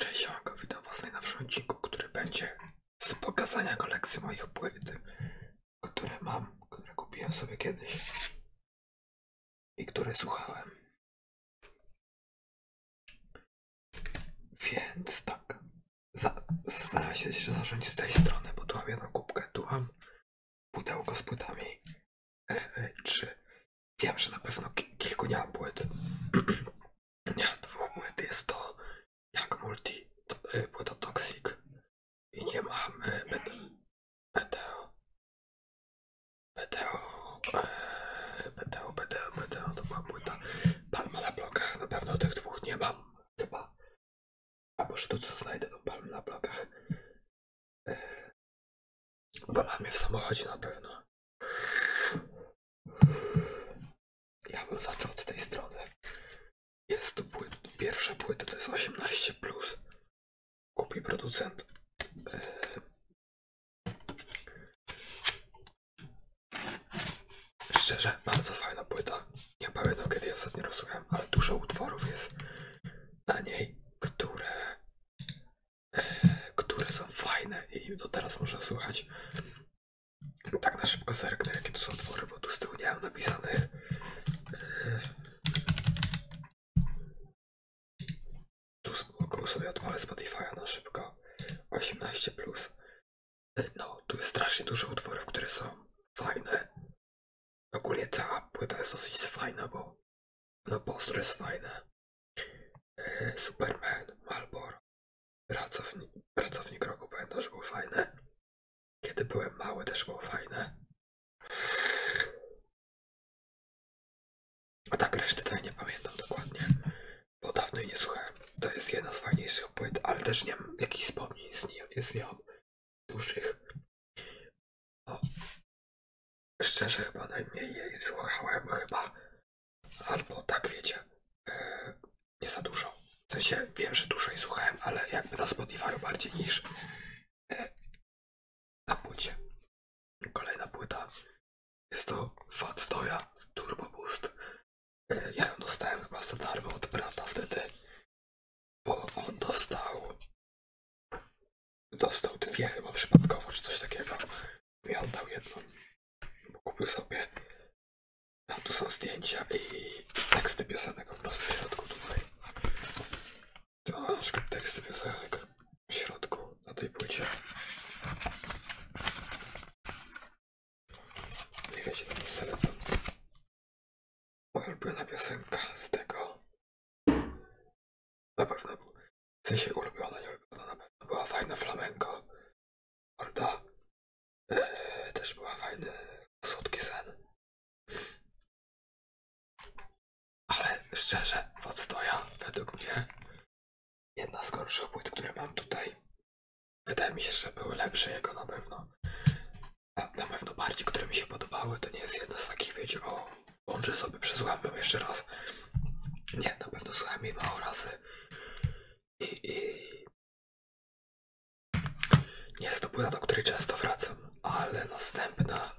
Cześć, siemanko, witam was w odcinku, który będzie z pokazania kolekcji moich płyt, które mam, które kupiłem sobie kiedyś i które słuchałem. Więc tak, za, zastanawiam się, czy zacząć z tej strony, bo tu mam jedną kubkę, tu mam pudełko z płytami, e, e, czy Wiem, że na pewno ki kilku nie ma płyt. nie, dwóch płyt jest to jak multi to, y, płyta Toxic i nie mam y, BTO. BTO, e, BTO, BTO, BTO, to była płyta Palma na blokach. Na pewno tych dwóch nie mam, chyba. Albo że to co znajdę to Palma na blokach. E, Bolała w samochodzie na pewno. Ja bym zaczął od tej strony. Jest tu płyt, pierwsza płyta, to jest 18+. Plus. Kupi producent. Yy. Szczerze, bardzo fajna płyta. Nie pamiętam kiedy ja ostatnio rozsłuchałem, ale dużo utworów jest na niej, które które są fajne i do teraz można słuchać. Tak na szybko zerknę, jakie tu są twory, bo tu z tyłu nie mam napisanych. E, tu z sobie odpalę Spotify na szybko. 18+. Plus. E, no, tu jest strasznie dużo utworów, które są fajne. Ogólnie cała płyta jest dosyć fajna, bo na no, postro jest fajne. Superman, Malboro. Pracownik, pracownik roku pamiętam, że były fajne. Kiedy byłem mały też było fajne. A tak reszty tutaj nie pamiętam dokładnie, bo dawno jej nie słuchałem. To jest jedna z fajniejszych płyt, ale też nie mam jakichś wspomnień z nią, z nią dłuższych. O, Szczerze chyba najmniej jej słuchałem chyba. Albo tak wiecie, e, nie za dużo. W sensie wiem, że dłużej słuchałem, ale jakby na Spotify bardziej niż e, na płycie. Kolejna płyta. Jest to Fat Stoja Turbo Boost. E, ja ją dostałem chyba za darmo od brata wtedy. Bo on dostał. Dostał dwie chyba przypadkowo, czy coś takiego mi oddał jedną. Bo kupił sobie. to tu są zdjęcia i teksty piosenek po prostu w środku tutaj. To na przykład teksty piosenek w środku na tej płycie. I wiecie, tam co lecą. Moja ulubiona piosenka z tego na pewno był. W sensie ulubiona, nie ulubiona, na pewno była fajna flamenko. Horda. E, też była fajna słodki sen. Ale szczerze, Wadstoja według mnie jedna z gorszych płyt, które mam tutaj. Wydaje mi się, że były lepsze jego na pewno. na pewno bardziej, które mi się podobały, to nie jest jedna z takich, wiecie, o, włączę sobie przez łamę jeszcze raz nie, na pewno słuchałem jej mało razy. I, Nie jest to płyta, do której często wracam, ale następna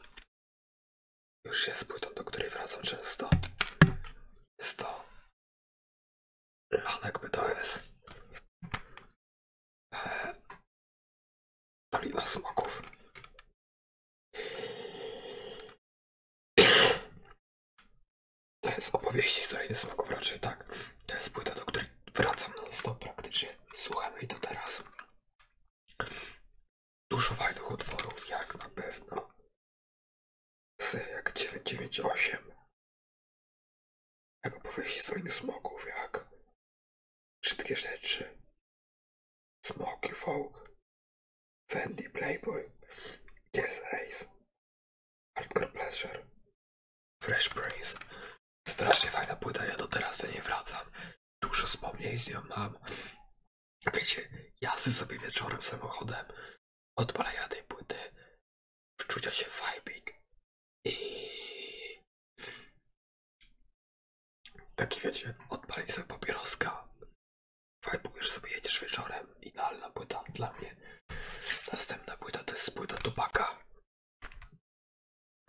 już jest płytą, do której wracam często. Jest to Lanek to jest Dolina smaków. To jest opowieści, z której nie raczej tak. To jest płyta, do której wracam non stop praktycznie. Słuchamy jej do teraz. Dużo fajnych utworów, jak na pewno. Sy, jak 998. Jak opowieści strony smoków, jak. Wszystkie rzeczy. Smoki, folk. Fendi Playboy, Yes Ace, Hardcore Pleasure, Fresh Prince. Strasznie fajna płyta, ja do teraz do niej wracam. Dużo wspomnień z nią mam. Wiecie, jazdy sobie wieczorem samochodem, odpalania tej płyty, wczucia się w vibing i taki wiecie, odpalić sobie papieroska już sobie, jedziesz wieczorem. Idealna płyta dla mnie. Następna płyta to jest płyta Tupaka,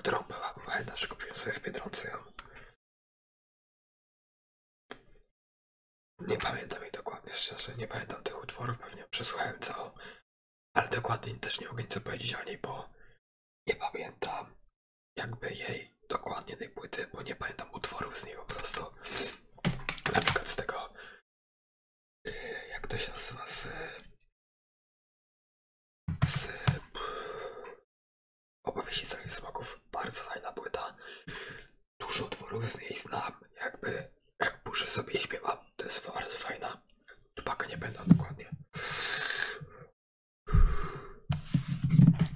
którą była, pamiętam, że kupiłem sobie w Biedronce Nie pamiętam jej dokładnie, szczerze, nie pamiętam tych utworów, pewnie przesłuchałem całą, ale dokładnie też nie mogę nic powiedzieć o niej, bo nie pamiętam jakby jej dokładnie tej płyty, bo nie pamiętam utworów z niej po prostu. Na przykład z tego, jak to się nazywa, z, z opowieści Całych Smoków. Bardzo fajna płyta. Dużo utworów z niej znam, jakby jak burzę sobie i śpiewam. To jest bardzo fajna. Tupaka nie będę dokładnie.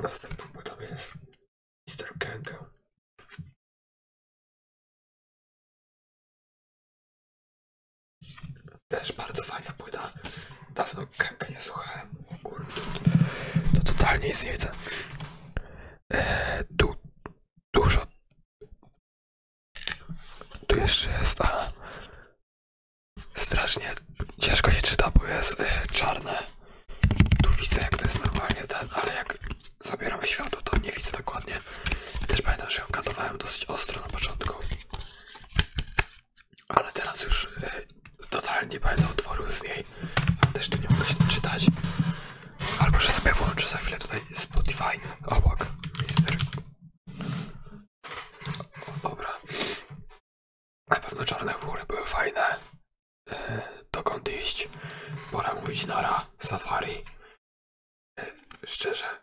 Następną płytą jest Mr. Kękę. Też bardzo fajna płyta. Dawno Kękę nie słuchałem. O kurde, to, totalnie jest jedzę. E, dużo. Tu jeszcze jest. Aha. Strasznie ciężko się czyta, bo jest e, czarne. Tu widzę jak to jest normalnie ten, ale jak zabieramy światło to nie widzę dokładnie. Też pamiętam, że ją katowałem dosyć ostro na początku. Ale teraz już y, totalnie będę utworu z niej. Też tu nie mogę się czytać. Albo że sobie włączę za chwilę tutaj Spotify O obok. Mister. O, dobra. Na pewno czarne chmury były fajne. Dokąd iść? Bora mówić Nara, Safari. Szczerze,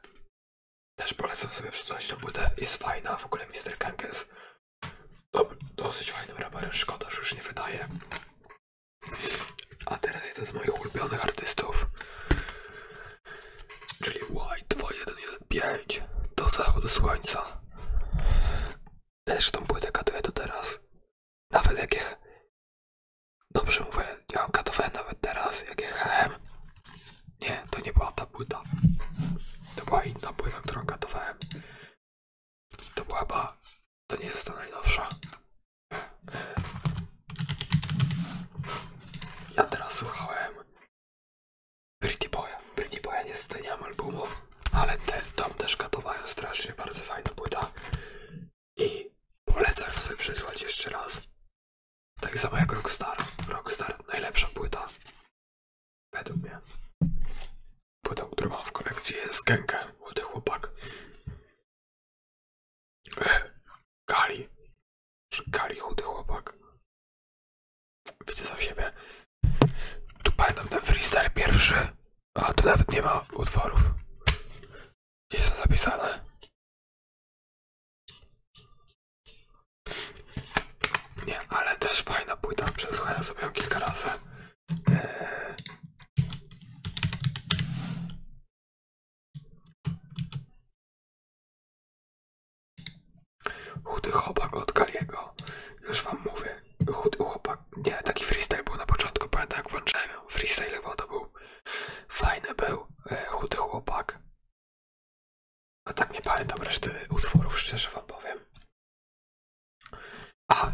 też polecam sobie przeczytać tę płytę. Jest fajna, w ogóle Mr. Kankes. Dobry, dosyć fajnym raperem, szkoda, że już nie wydaje. A teraz jeden z moich ulubionych artystów, czyli y White 2115 do zachodu słońca. Też tą płytę katuję do teraz. Nawet jak je... Dobrze mówię, ja katowałem nawet teraz, jak Nie, to nie była ta płyta. To była inna płyta, którą katowałem. To była chyba... To nie jest ta najnowsza. Ja teraz słuchałem Pretty Boya. Pretty Boya niestety nie mam albumów ale ten dom też gatowają strasznie, bardzo fajna płyta i polecam sobie przysłać jeszcze raz. Tak samo jak Rockstar. Rockstar najlepsza płyta według mnie. Płyta, którą mam w kolekcji jest Genkę, młody chłopak. Kali. Kali, chudy chłopak. Widzę sam siebie. Tu pamiętam ten freestyle pierwszy, a tu nawet nie ma utworów. Gdzie są zapisane? Nie, ale też fajna płyta. Przesłuchałem sobie ją kilka razy. Eee... Chudy chłopak od Galiego. Już wam mówię chudy chłopak. Nie, taki freestyle był na początku, pamiętam jak włączałem freestyle chyba to był. Fajny był, e, chudy chłopak. A tak nie pamiętam reszty utworów, szczerze wam powiem. A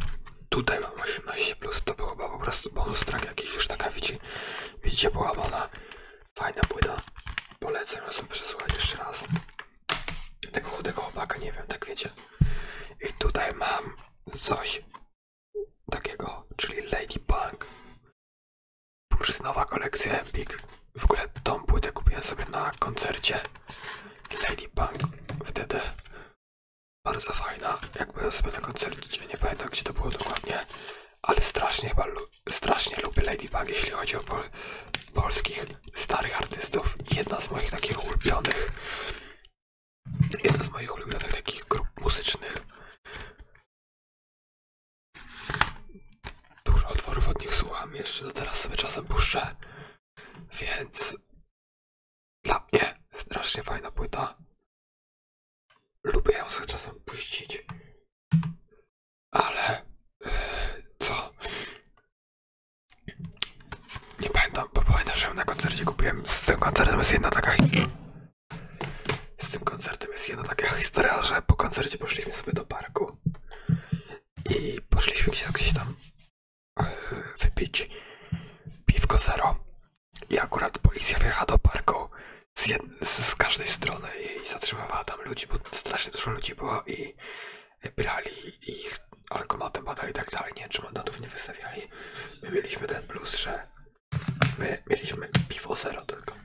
tutaj mam 18, plus to była po prostu bonus track jakiś już taka widzicie, widzicie połamana. Fajna płyta. Polecam ją sobie przesłuchać jeszcze raz. Tego chudego chłopaka, nie wiem, tak wiecie. I tutaj mam coś takiego, czyli Ladybug. Bursztynowa kolekcja Epic. W ogóle tą płytę kupiłem sobie na koncercie Ladybug. Wtedy bardzo fajna. Jak byłem sobie na koncercie, nie pamiętam gdzie to było dokładnie, ale strasznie, lubię Ladybug, jeśli chodzi o polskich starych artystów. Jedna z moich takich ulubionych Jeden z moich ulubionych takich grup muzycznych. Dużo otworów od nich słucham, jeszcze do teraz sobie czasem puszczę, więc dla mnie strasznie fajna płyta. Lubię ją sobie czasem puścić, ale e, co? Nie pamiętam, bo pamiętam, że na koncercie kupiłem. Z tym koncertem jest jedna taka. Z tym koncertem jest jedna taka historia, że po koncercie poszliśmy sobie do parku i poszliśmy gdzieś, gdzieś tam e, wypić piwko zero. I akurat policja wjechała do parku z, z, każdej strony i zatrzymywała tam ludzi, bo strasznie dużo ludzi było i brali ich alkomatem badali i tak dalej, nie, czy mandatów nie wystawiali. My mieliśmy ten plus, że my mieliśmy piwo zero tylko.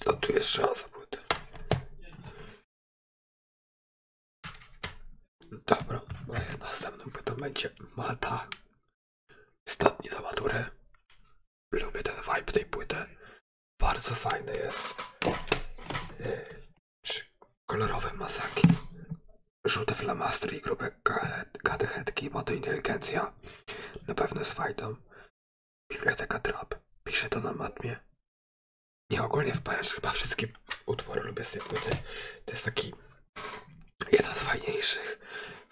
Co tu jest szansa płyty? Dobra, no następną płytą będzie Mata. Ostatni do Lubię ten vibe tej płyty. Bardzo fajny jest. Czy y, kolorowe masaki, żółte flamastry i grube katechetki, bo to inteligencja. Na pewno z fajdą. Biblioteka Trap. Pisze to na matmie. Nieogólnie, ogólnie chyba wszystkie utwory lubię z tej płyty. To jest taki jeden z fajniejszych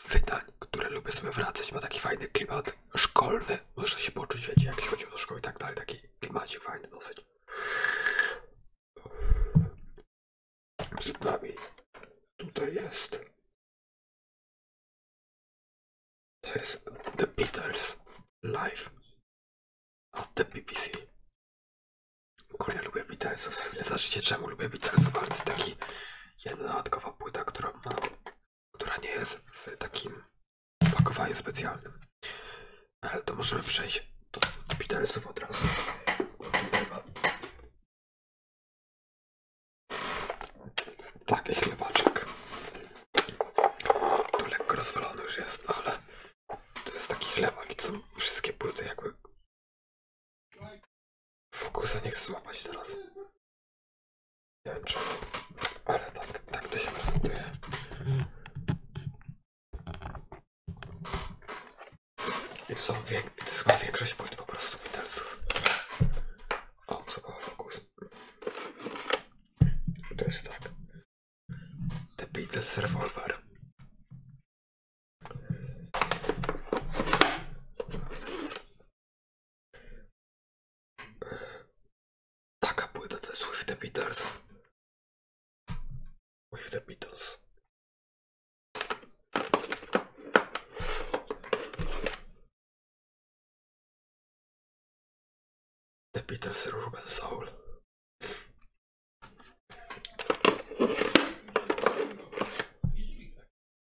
wydań, które lubię sobie wracać. Ma taki fajny klimat szkolny. Muszę się poczuć, wiecie, jak się chodziło do szkoły i tak dalej. Taki klimacik fajny dosyć. Przed nami tutaj jest. To jest The Beatles Live od The BBC. Ogólnie lubię Beatles, za chwilę zobaczycie czemu lubię Beatlesów, ale jest taki jedna dodatkowa płyta, którą mam która nie jest w takim opakowaniu specjalnym. Ale to możemy przejść do, do od razu. Takich chlebaczek. Tu lekko rozwalony już jest, ale to jest taki chlebak i są wszystkie płyty jakby... Fokusa nie chcę złapać teraz. Nie wiem ale tak, tak to się prezentuje. I to są, wiek, to są większość płyt po prostu Beatlesów. O, zabawa fokus. To jest tak. The Beatles Revolver. Taka płyta to jest With the Beatles. With the Beatles. The Beatles Ruben Soul.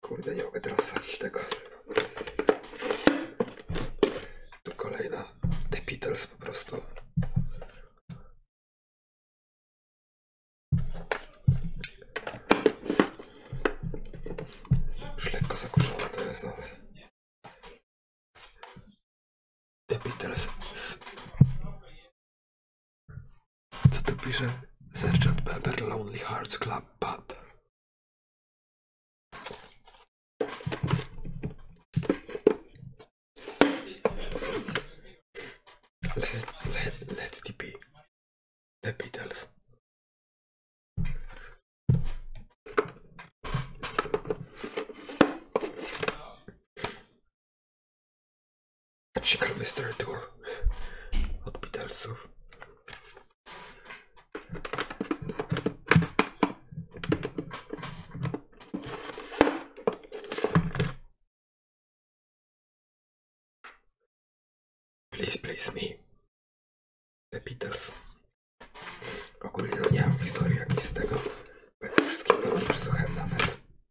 Kurde, nie mogę teraz tego. Tu kolejna The Beatles po prostu. Już lekko zakurzone jest, ale... The Beatles co tu pisze? Sergeant Pepper Lonely Hearts Club Band. Let, let, let it be. The Beatles. Chicago Mystery Tour od Beatlesów. Please Please Me The Beatles Ogólnie nie mam historii jak nic z tego Bo wszystkiego nie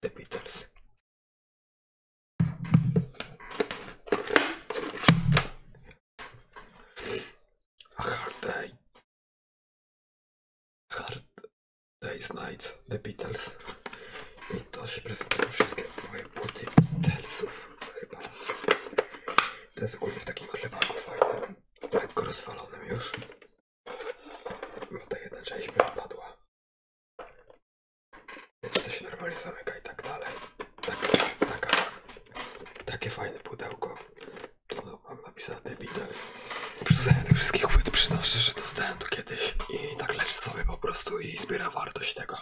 The Beatles. Hard Day. Hard Day's Night, The Beatles. I to się prezentuje wszystkie moje płyty Beatlesów chyba. To jest ogólnie w takim chlebaku tak lekko rozwalonym już. No ta jedna rzecz mi odpadła. Wiecie, to się normalnie zamyka i tak dalej. Taka, taka, takie fajne pudełko. Tu no, mam napisane The Beatles. Przyrzucenie tych wszystkich płyt przynoszę, że dostałem tu kiedyś i tak leży sobie po prostu i zbiera wartość tego.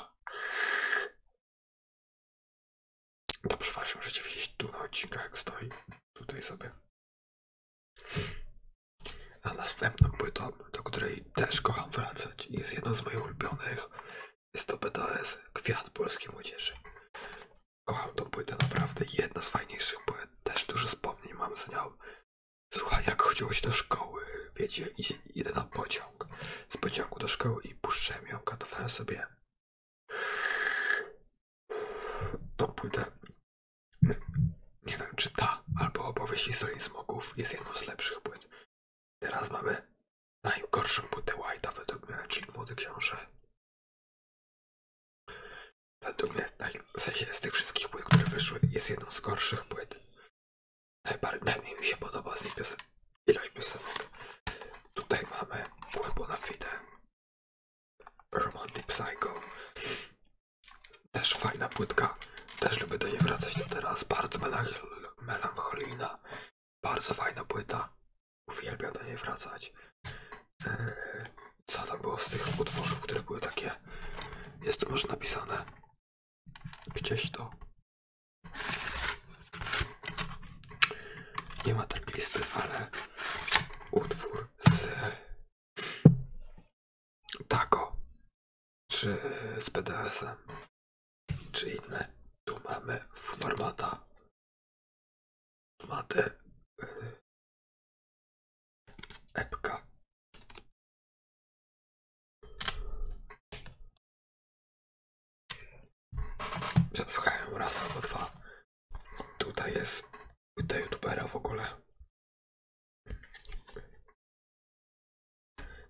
To przeważnie możecie widzieć tu na odcinkach jak stoi. Tutaj sobie. A następną płytą, do której też kocham wracać, jest jedną z moich ulubionych. Jest to BDS Kwiat Polskiej Młodzieży. Kocham tą płytę naprawdę, jedna z fajniejszych płyt. Też dużo wspomnień mam z nią. Słuchaj, jak chodziło do szkoły, wiecie, idę na pociąg. Z pociągu do szkoły i puszczę ją, katowałem sobie tą płytę. Nie wiem, czy ta albo opowieści z Dolin Smoków jest jedną z lepszych płyt. Teraz mamy najgorszą płytę White'a według czyli Młody Książę. Według mnie, w sensie tych wszystkich płyt, które wyszły, jest jedną z gorszych płyt. Najbardziej mi się podoba z niej piosen ilość piosenek. Tutaj mamy Płybu na Fide, Romantic Psycho, też fajna płytka. Też lubię do niej wracać do teraz. Bardzo melancholijna. Bardzo fajna płyta. Uwielbiam do niej wracać. E, co tam było z tych utworów, które były takie? Jest to może napisane. Gdzieś to. Nie ma tak listy, ale utwór z Tako. Czy z bds Czy inne? Tu mamy formata. Mamy e, epka. Przesłuchają raz albo dwa. Tutaj jest płyta youtubera w ogóle.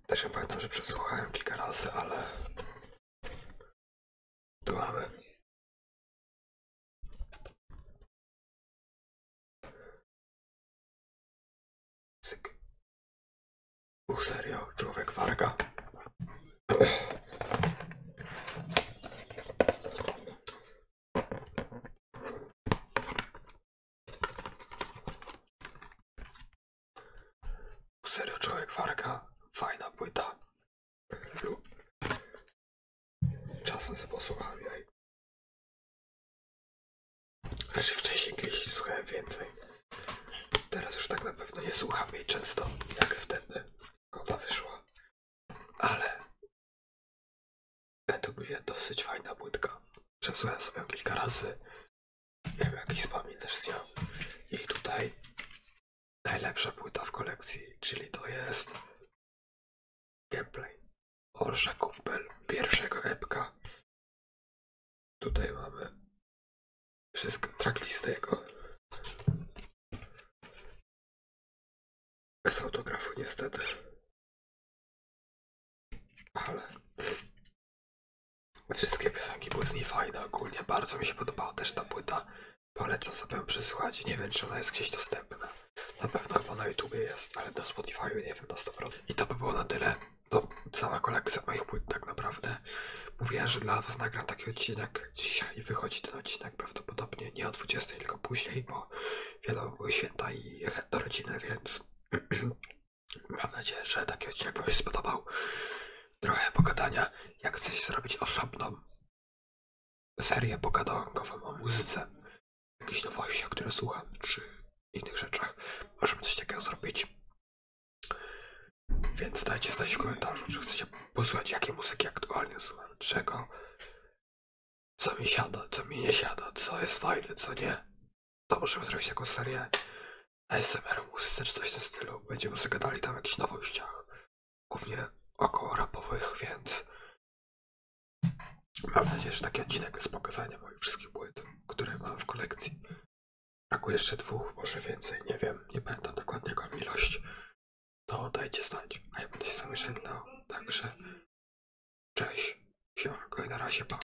Też ja pamiętam, że przesłuchałem kilka razy, ale tu mamy. Cyk. Uch, serio, człowiek warga. Serio człowiek warka fajna płyta. Czasem sobie posłucham jej. Raczej znaczy, wcześniej kiedyś słuchałem więcej. Teraz już tak na pewno nie słucham jej często, jak wtedy ona wyszła. Ale według mnie dosyć fajna płytka. Przesłuchałem sobie kilka razy Miałem jakiś wspomnień też z nią. I tutaj najlepsza płyta w kolekcji, czyli to jest gameplay Olsza Kumpel pierwszego epka. Tutaj mamy wszystko, tracklistę Bez autografu niestety. Ale wszystkie piosenki były z niej fajne ogólnie, bardzo mi się podobała też ta płyta. Polecam sobie ją przesłuchać, nie wiem czy ona jest gdzieś dostępna. Na pewno chyba na YouTubie jest, ale na Spotify nie wiem na 100%. I to by było na tyle. To cała kolekcja moich płyt tak naprawdę. Mówiłem, że dla was nagram taki odcinek dzisiaj wychodzi ten odcinek prawdopodobnie nie o 20, tylko później, bo wiadomo były święta i do rodziny, więc Mam nadzieję, że taki odcinek Wam spodobał. Trochę pogadania, jak chcecie zrobić osobną serię pogadankową o muzyce, nowości, nowościach, które słucham, czy innych rzeczach. Możemy coś takiego zrobić. Więc dajcie znać w komentarzu, czy chcecie posłuchać jakiej muzyki aktualnie słucham, czego, co mi siada, co mi nie siada, co jest fajne, co nie to możemy zrobić taką serię ASMR muzyce czy coś w tym stylu. Będziemy sobie tam o jakichś nowościach, głównie około rapowych, więc mam nadzieję, że taki odcinek jest pokazania moich wszystkich płyt, które mam w kolekcji. Brakuje jeszcze dwóch, może więcej, nie wiem, nie będę dokładnie jaką ilość. To dajcie znać, a ja będę się z wami żegnał, no, także cześć, siemanko i na razie, pa.